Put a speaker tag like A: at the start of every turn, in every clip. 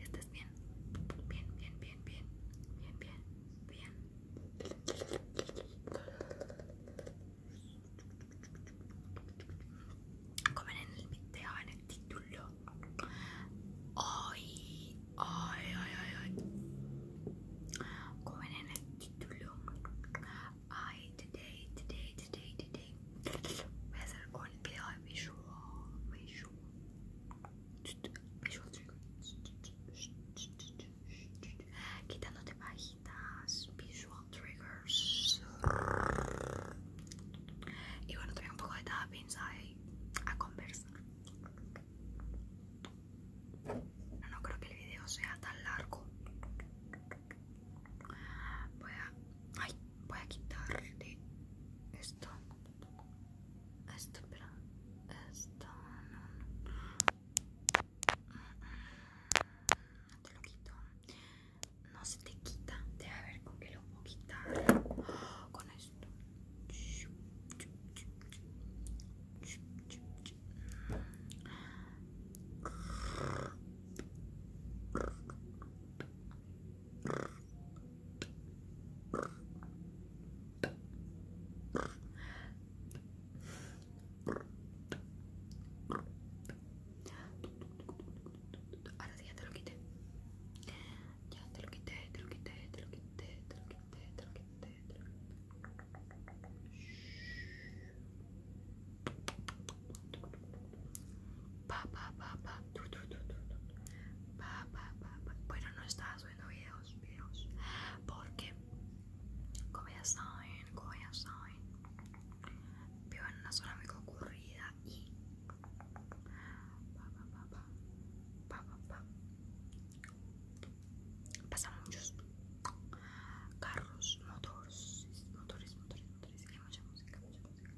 A: Estás bien, bien, bien, bien, bien, bien, bien, bien. en el video, en el título. Hoy, ay ay ay en el título. I today, today, today, today, whether or not visual, visual, visual triggers, quitándote pajitas, visual triggers. Y bueno, traía un poco de tappings ahí a conversar. No creo que el video sea tan largo. Voy a, ay, voy a quitarle esto. Esto, espera esto no. Te lo quito. No se te quita. Debe ver con qué lo puedo quitar. Con esto. Ahora sí, ya te lo quité. Ya te lo quité, te lo quité, te lo quité, te lo quité, te lo quité. Pa, pa, pa, pa. Pa, pa, pa, pa. Bueno, no estaba subiendo videos, videos. Porque, como ya saben, como ya saben, vivo en una zona muy concurrida y... Pa, pa, pa, pa. Pa, pa, pa pasan muchos carros, motores, motores, motores, motores y mucha música, música.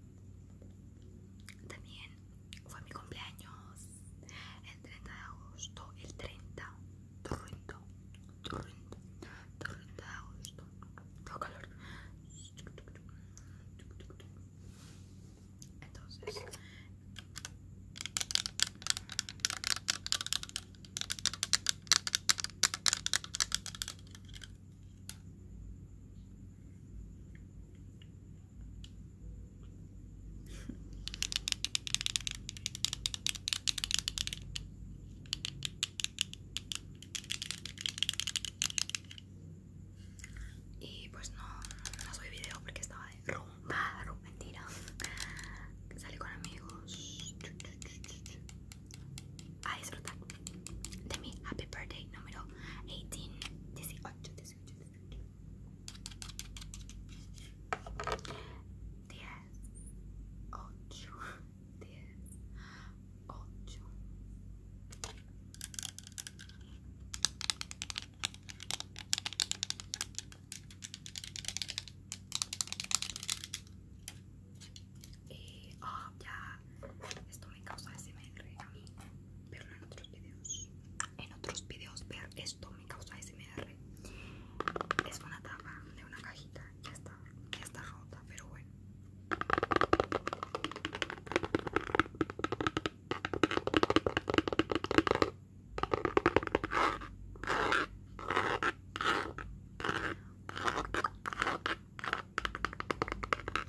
A: También fue mi cumpleaños el 30 de agosto, el 30, 30, 30, 30 de agosto. Tengo calor. Entonces, y pues no, no subí video porque estaba de rojo Mentira. Que Sale con amigos. A disfrutar de mi happy birthday número 18, 18, 18, 18. 10, 8, 8. Eh, ah, ya esto me causa SMR a mí, verlo en otros videos. En otros videos ver esto me causa SMR. Es una tapa de una cajita, ya está, ya está rota, pero bueno.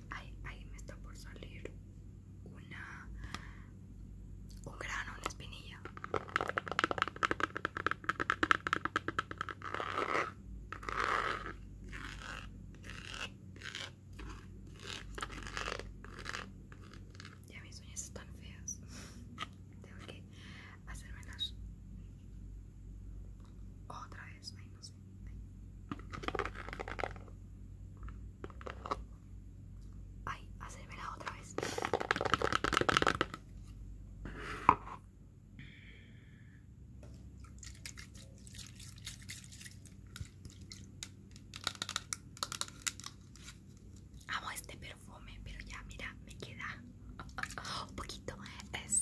A: Ahí, me está por salir una un grano, una espinilla. Ya mis uñas están feas. Tengo que hacerme las otra vez. Ay, no sé. Ay, hacérmela otra vez. Amo este perfume, pero ya mira, me queda un poquito. Es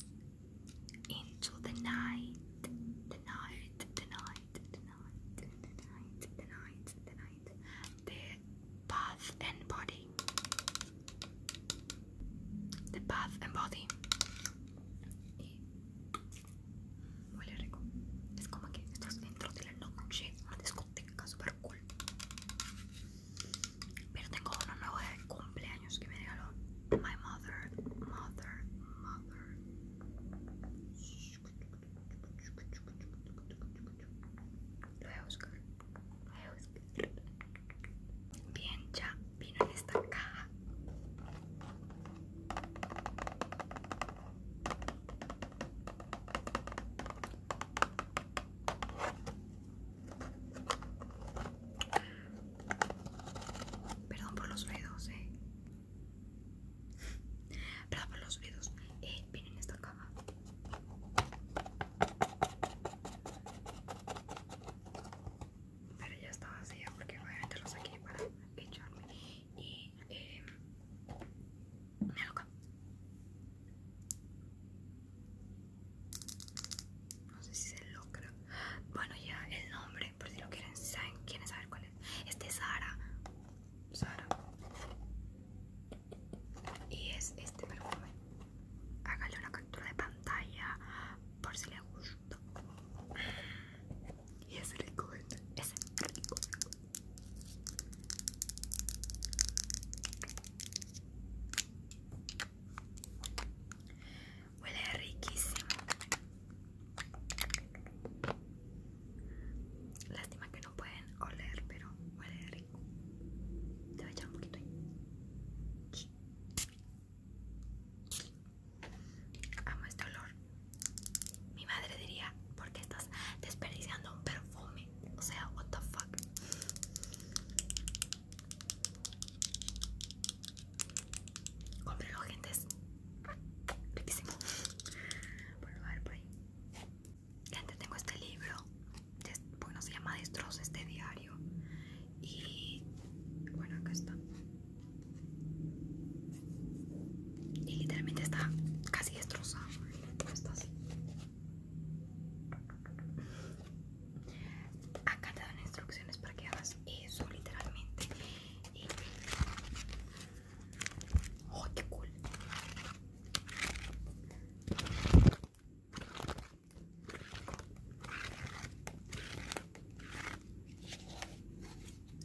A: Into the Night, The Night, The Night, The Night, The Night, The Night, The Night, The Bath and Body, The Bath and Body. Huele rico. Es como que estás dentro de la noche, una discoteca super cool. Pero tengo uno nuevo de cumpleaños que me regaló my mother, mother, mother. Lo voy a buscar. Lo voy a buscar. Bien, ya, Miren esta caja. Perdón por los dedos eh. Perdón por los dedos Eh, miren esta caja pero ya estaba vacía porque voy a meterlos aquí para echarme y eh, me no sé si se logra bueno ya el nombre por si lo quieren saber, saben quieren saber cuál es este es Sara Sara y es este perfume hágale una captura de pantalla por si le gusta y es rico, es rico. Huele riquísimo. Lástima que no pueden oler, pero huele rico. Te voy a echar un poquito ahí. Amo este olor. Mi madre diría, ¿por qué estás desperdiciando un perfume? O sea, what the fuck. Cómprelo, gente. Es riquísimo. Voy a ver, por ahí. Gente, tengo este libro bueno se llama destroza este diario y bueno acá está y literalmente está casi destrozado está así acá te dan instrucciones para que hagas eso literalmente y ¡Oh, qué cool!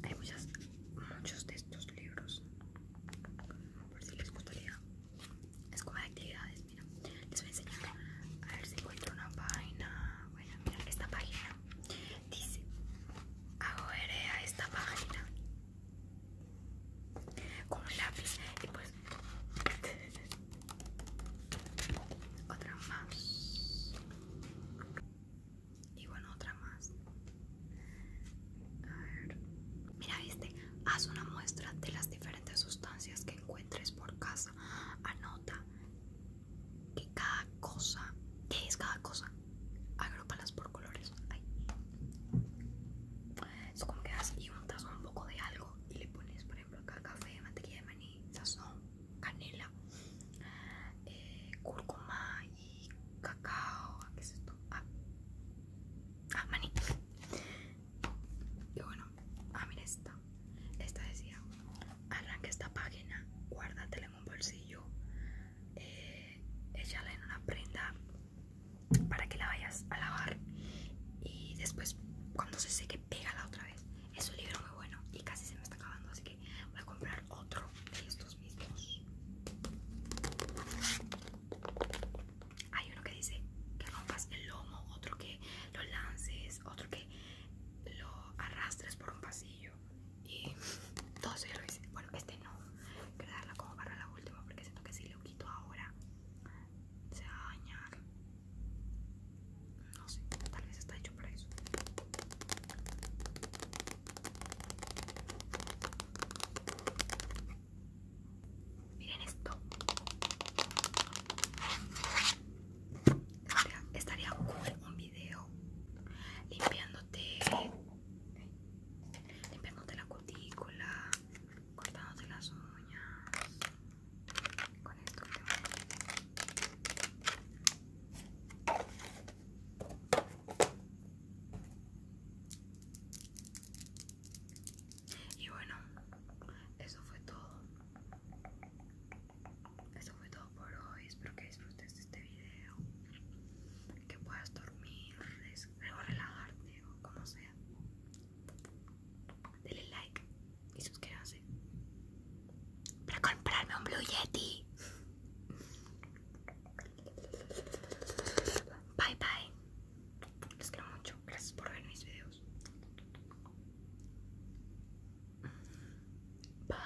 A: Hay muchas, muchos de estos libros. Por si les gustaría. Es como de actividades, mira. Les voy a enseñar. A ver si encuentro una página. Bueno, mira, esta página dice: Hago a esta página con un lápiz. Y pues otra más y bueno otra más mira viste haz una muestra de las diferentes sustancias que encuentres por casa anota que cada cosa ¿Qué es cada cosa? Agrópalas por colores es como que das y untas un poco de algo y le pones, por ejemplo, acá café, mantequilla de maní, sazón, canela, eh, cúrcuma y cacao. ¿Qué es esto? Ah, ah, maní. Y bueno, ah, mira esta. Esta decía: arranca esta página, guárdatela en un bolsillo, eh, échala en una prenda para que la vayas a lavar y después cuando se seque pégala otra vez es un libro muy bueno y casi se me está acabando así que voy a comprar otro de estos mismos hay uno que dice que rompas el lomo otro que lo lances otro que lo arrastres por un pasillo y todo eso lo bueno este no quiero darla como para la última porque siento que sí le ahora se va a dañar no sé tal vez está hecho para eso miren esto estaría, un video limpiándote limpiándote la cutícula, cortándote las uñas con esto y bueno, eso fue todo. Eso fue todo por hoy. Espero que disfrutes de este video que puedas dormir o relajarte o como sea denle like y suscríbanse para comprarme un Blue Yeti bye bye les quiero mucho gracias por ver mis videos bye